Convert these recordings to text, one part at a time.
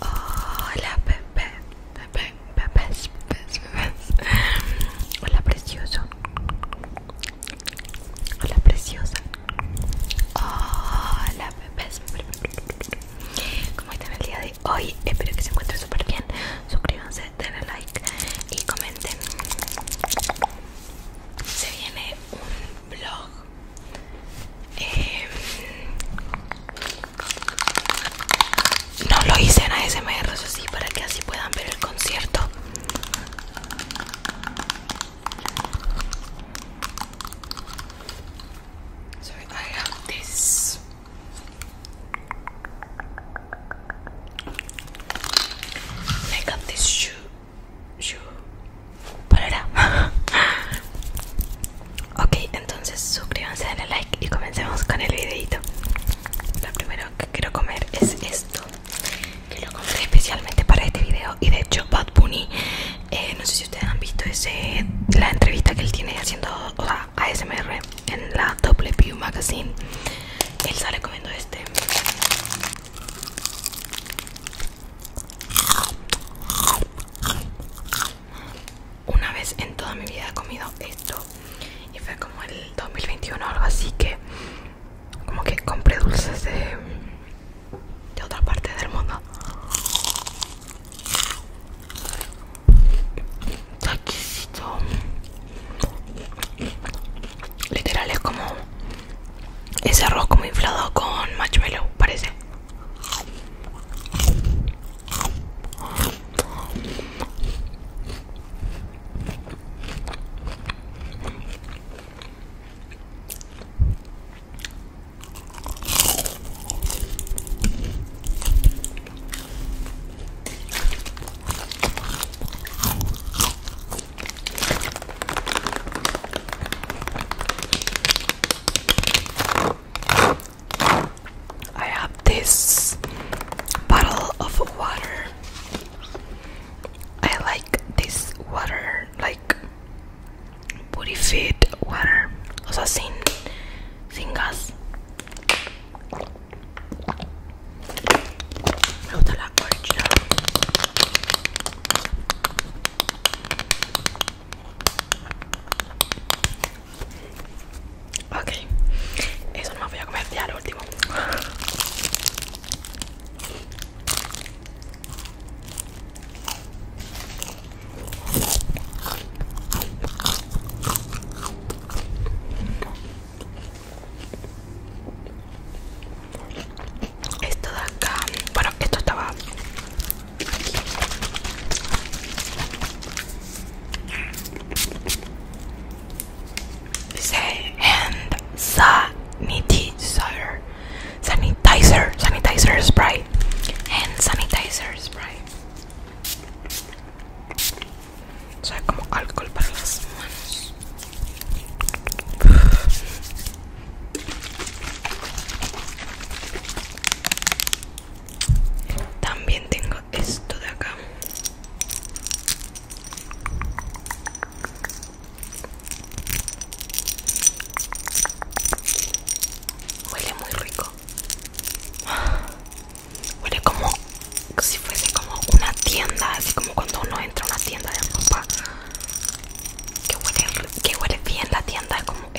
Hola Pepe, Pepe, Pepe, Pepe, Hola precioso. Hola preciosa. Hola Pepe. ¿Cómo están el día de hoy? Espero que se encuentren súper bien. Suscríbanse, denle like y comenten se viene un vlog em, no lo hice en ASMR, eso sí, para que así puedan ver el concierto So I have this this shoe ok, entonces suscríbanse, denle like y comencemos con el videito. Lo primero que quiero comer es esto, que lo compré especialmente para este video. Y de hecho, Bad Bunny, eh, no sé si ustedes han visto ese, la entrevista que él tiene haciendo o sea, ASMR en la W Magazine. Él sale comiendo este una vez en toda mi vida he comido esto y fue como el 2021 o algo así que como que compré dulces de, otra parte del mundo. Literal es como ese arroz como inflado con marshmallow, parece. I have this bottle of water. I like this water, like booty fit water, o sea, sin, sin gas. Me gusta la concha. Okay, eso no me voy a comer ya lo último. Esto de acá, bueno, esto estaba aquí. Dice hand sanitizer, sanitizer, sanitizer spray, hand sanitizer spray sea, como alcohol para las manos también tengo esto de acá Huele muy rico Huele como si fuese como una tienda, así como cuando uno entra a una tienda de ropa que huele, que huele bien la tienda, es como lo veo.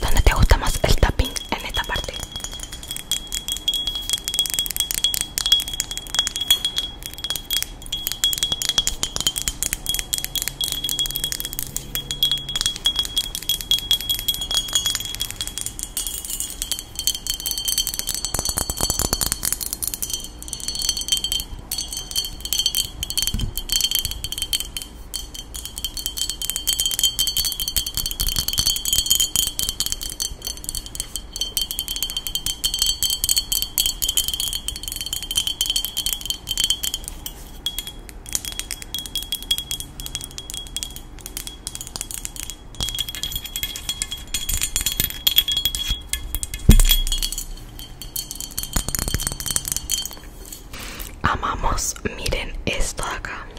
¿Dónde te gusta más el tapping? en esta parte Amamos, miren esto de acá.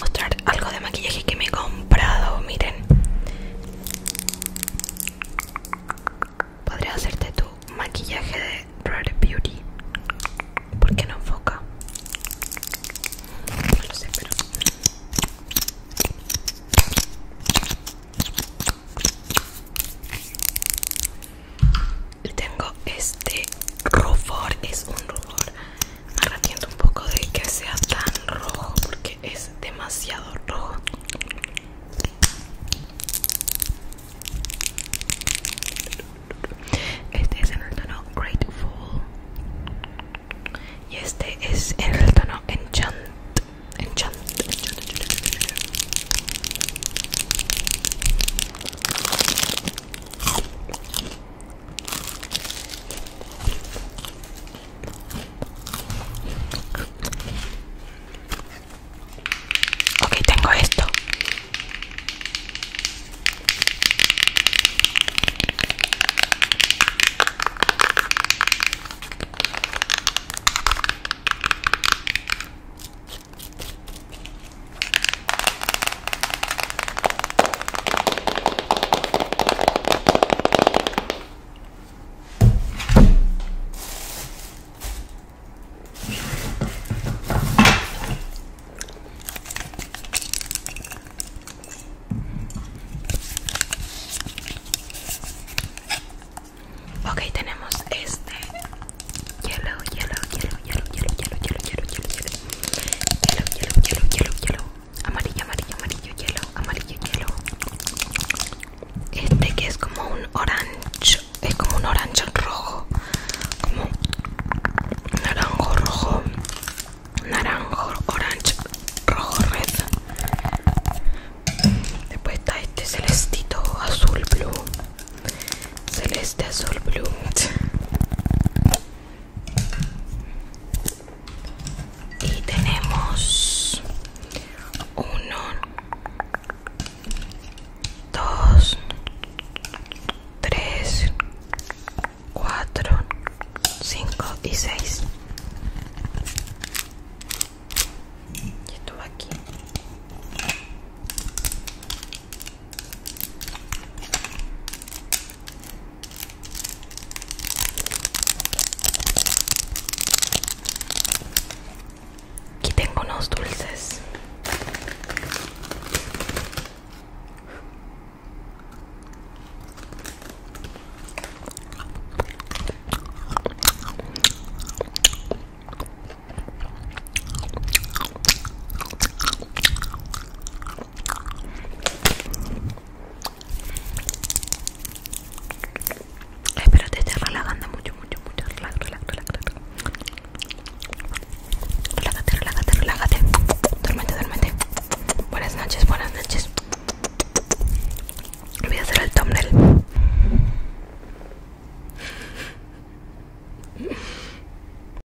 mostrar algo de maquillaje que me he comprado miren podría hacerte tu maquillaje de Rare Beauty porque no enfoca no lo sé pero tengo este rubor es un rubor me un poco de que sea tan rojo porque es demasiado rojo este es en el tono Grateful y este es el tono enchant, enchant. Okay, tengo esto. Okay, tenemos este hielo, hielo, hielo, hielo, hielo, hielo, hielo, hielo, hielo, hielo, Hielo, hielo, hielo, hielo, Amarillo, amarillo, amarillo, hielo, amarillo, hielo. Este que es como un orange, es como un orange rojo, como naranjo rojo, naranjo, orange, rojo, red. Después está este celestito azul blue, celeste azul blue y tenemos uno, dos, tres, cuatro, cinco y seis. aquí. Aquí tengo unos dulces. Espero te estás relajando mucho, mucho, mucho. Relax, relaj Relájate, relájate, relájate. Duérmete, duérmete. Buenas noches, buenas noches. Voy a hacer el thumbnail.